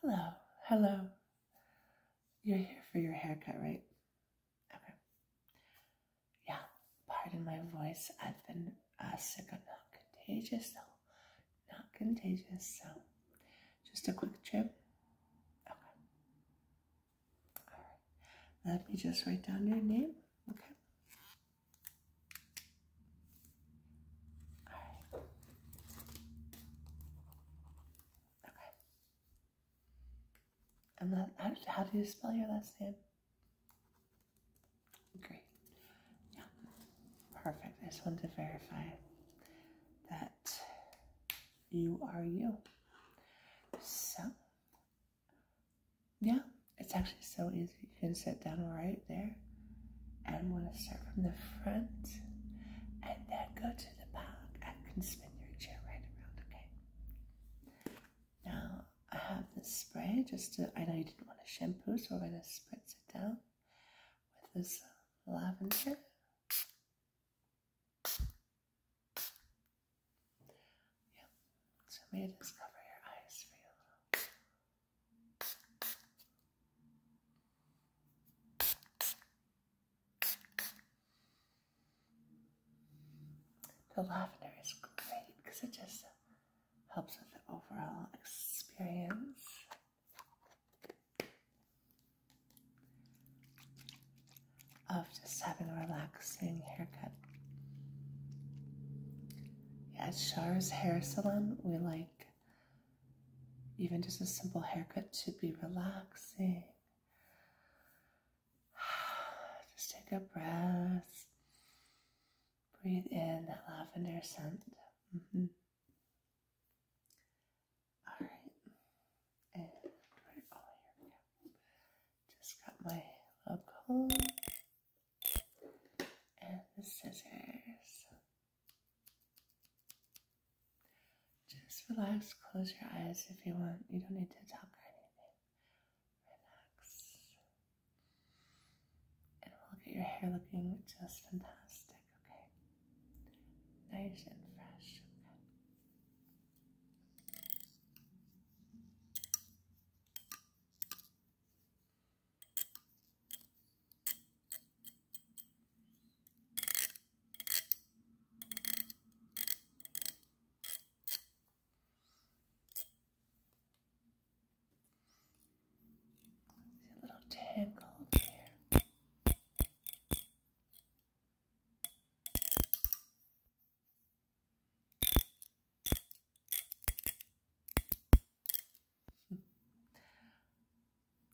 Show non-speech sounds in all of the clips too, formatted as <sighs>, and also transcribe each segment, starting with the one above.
Hello, hello. You're here for your haircut, right? Yeah, pardon my voice. I've been uh, sick. not contagious, though. Not contagious, so just a quick trip. Okay. Let me just write down your name, okay? Alright. Okay. And that, how, do you spell your last name? Great. Yeah. Perfect. I just wanted to verify that you are you. So, yeah, it's actually so easy. You can sit down right there. And I'm going to start from the front and then go to the back. I can spin your chair right around, okay? Now, I have this spray just to, I know you didn't want to shampoo, so we're going to spritz it down with this lavender. Yeah, so may just cover your eyes for you the lavender is great because it just helps with the overall experience. Of just having a relaxing haircut. Yeah, at Char's Hair Salon, we like even just a simple haircut should be relaxing. <sighs> Just take a breath. Breathe in that lavender scent. Mm-hmm. All right. And oh, here Just got my love and the scissors. Just relax, close your eyes if you want. You don't need to talk or anything. Relax. And we'll get your hair looking just fantastic, okay? Nice and fresh. Okay. See a little tingle there.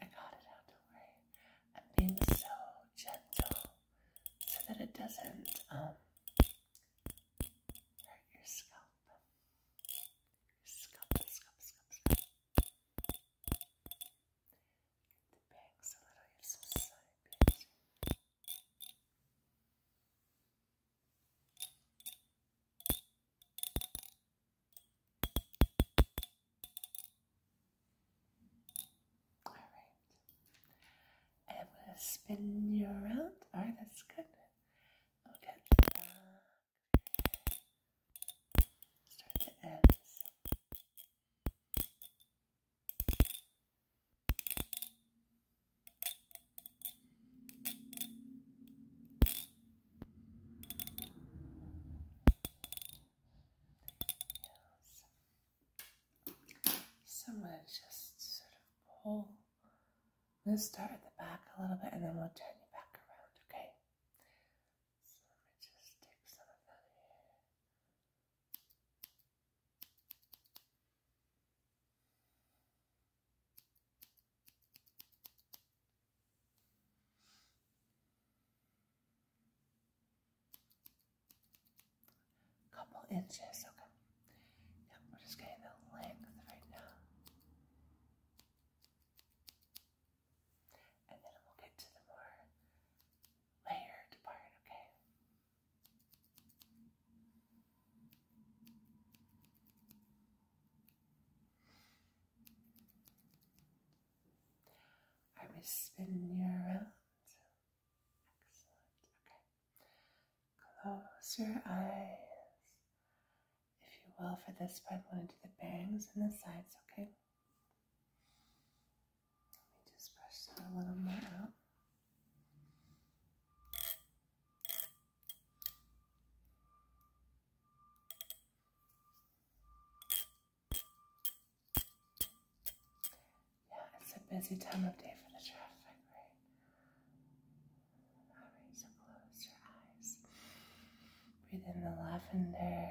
I got it out, don't worry. I'm being so gentle so that it doesn't um, hurt your scalp. scalp, scalp, scalp, scalp. the bangs a little, you all right. I'm going to spin you around. All right, that's good. Okay. Start the ends. So I'm going to just sort of pull. Let's start at the back a little bit and then we'll turn you back around, okay? So let me just take some of that here. Couple inches, okay. Now we're just getting the length right now. And then we'll get to the more layered part, okay? I was spin you around. Excellent. Okay. Close your eyes, if you will, for this part. I'm going to do the bangs and the sides, okay? Let me just brush that a little more out. Yeah, it's a busy time of day for the traffic, right? Alright, so close your eyes. Breathe in the lavender.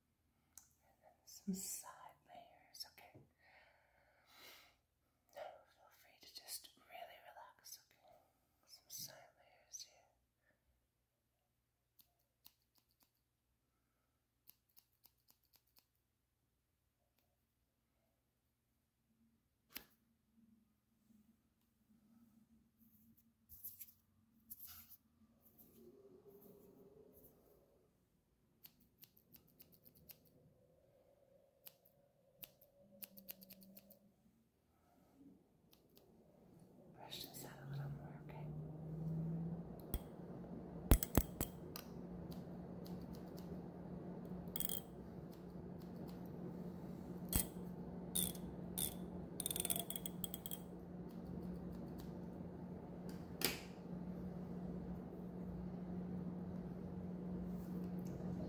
and then some side layers, okay? Now feel free to just really relax, okay? Some side layers here. Okay. Brush this out a little more, okay? Okay let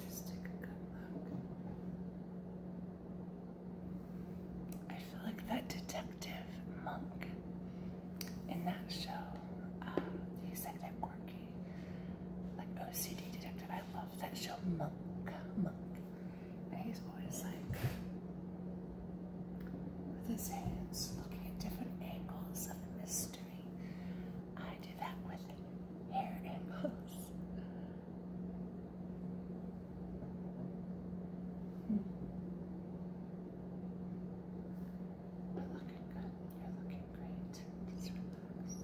take a good look. I feel like that detective monk in that show, um, he's like that quirky, like OCD detective. I love that show, Monk. Monk. And he's always like with his hands looking at different angles of the mystery. I do that with hair angles. Hmm. You're looking good. You're looking great. Just relax.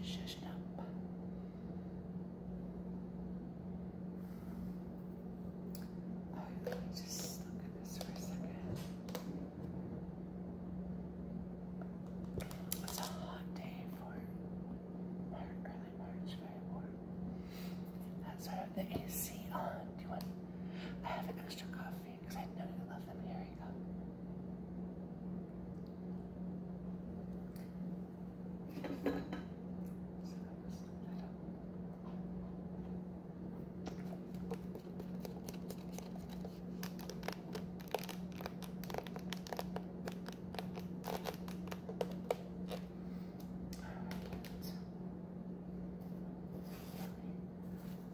Shush it up. Oh, let me just look at this for a second. It's a hot day for our really large fire That's why I the AC on. Uh, do you want? I have an extra coffee because I know you love them. Here you go.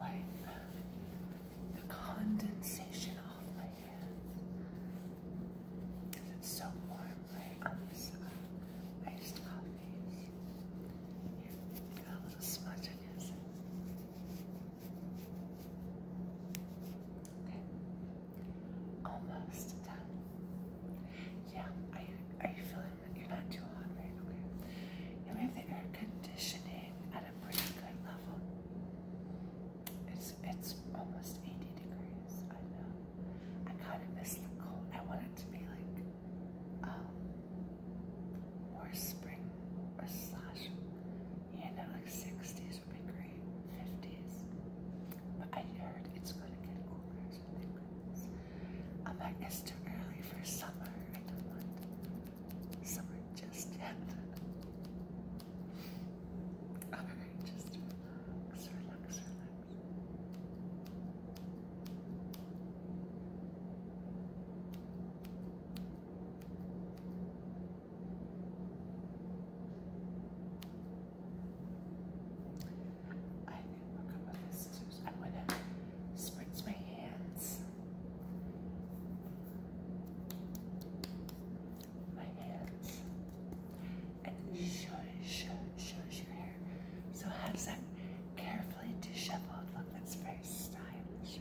Like the condensation off my hands. so warm right on the side. I just love these. got a little smudge, I guess. Okay. Almost done. Yeah, are you, are you feeling you're not too hot, right? Okay. You have the air conditioning at a pretty good level. It's it's almost 80 degrees. I know. I kind of miss the cold. I want it to be like um more spring or slash. Yeah, like 60s would be great. 50s. But I heard it's going to get cooler, so thank I'm like, it's too early for summer. I don't want summer just yet. Alright, just relax, I didn't look up scissors. I'm to spritz my hands. My hands. And shush, shush your hair. So how does that carefully disheveled look? That's very stylish,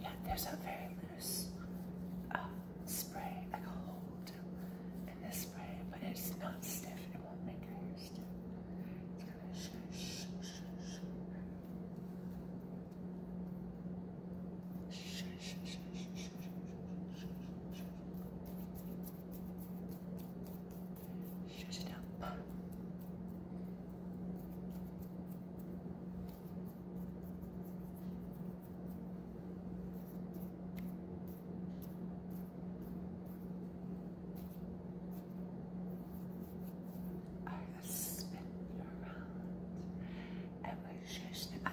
Yeah, there's a very loose uh, spray, like a hold in this spray, but it's not stiff. It won't make your hair stiff. Shut it up. I spin around and we'll it up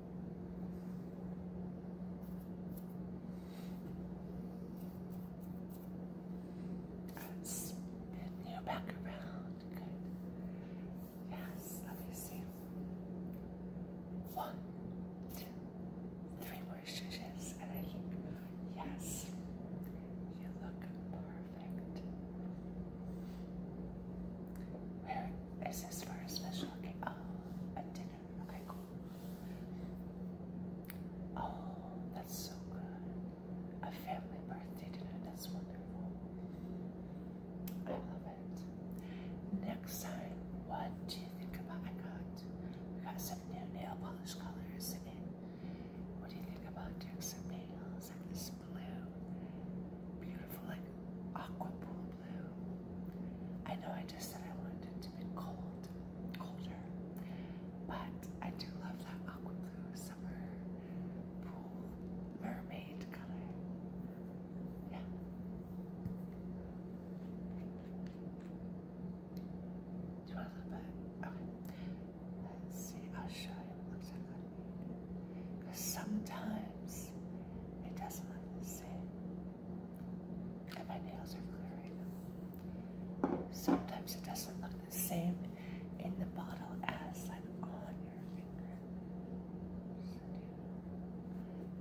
Spin you back around. Good. Yes, let me see. One, two, three more stitches, and I look. Yes, you look perfect. This is for a special occasion? Oh, a dinner. Okay, cool. Oh, that's so good. A family birthday dinner. That's wonderful. I love it. Next time, what do you think about? I got, we got some new nail polish colors in. What do you think about doing some nails like this blue, beautiful like aqua blue I know I just said I wanted it to be cold, colder, but I do love that aqua blue summer pool mermaid color. Yeah. Do you want a little bit? Okay. Let's see. I'll show you. Looks like that. Because sometimes it doesn't sit. And my nails are clear right now. Sometimes it doesn't look the same in the bottle as like on your finger.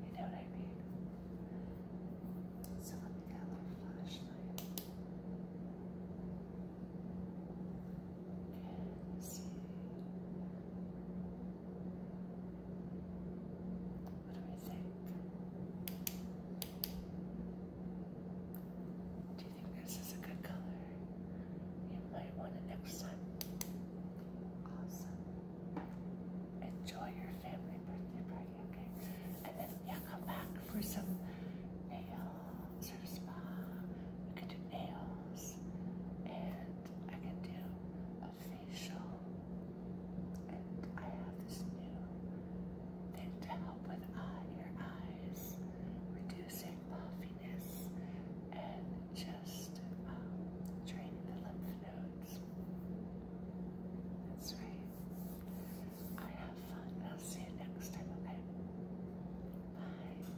You know what I mean? So let me get a little flashlight. And what do I think? Do you think this is a good color? You might want it next time. Awesome. Enjoy your family birthday party, okay? And then, yeah, come back for some nails or spa. We could do nails. And I can do facial, and I have this new thing to help with uh, your eyes, reducing puffiness, and just um, draining the lymph nodes. That's right. I have fun. I'll see you next time, okay? Bye.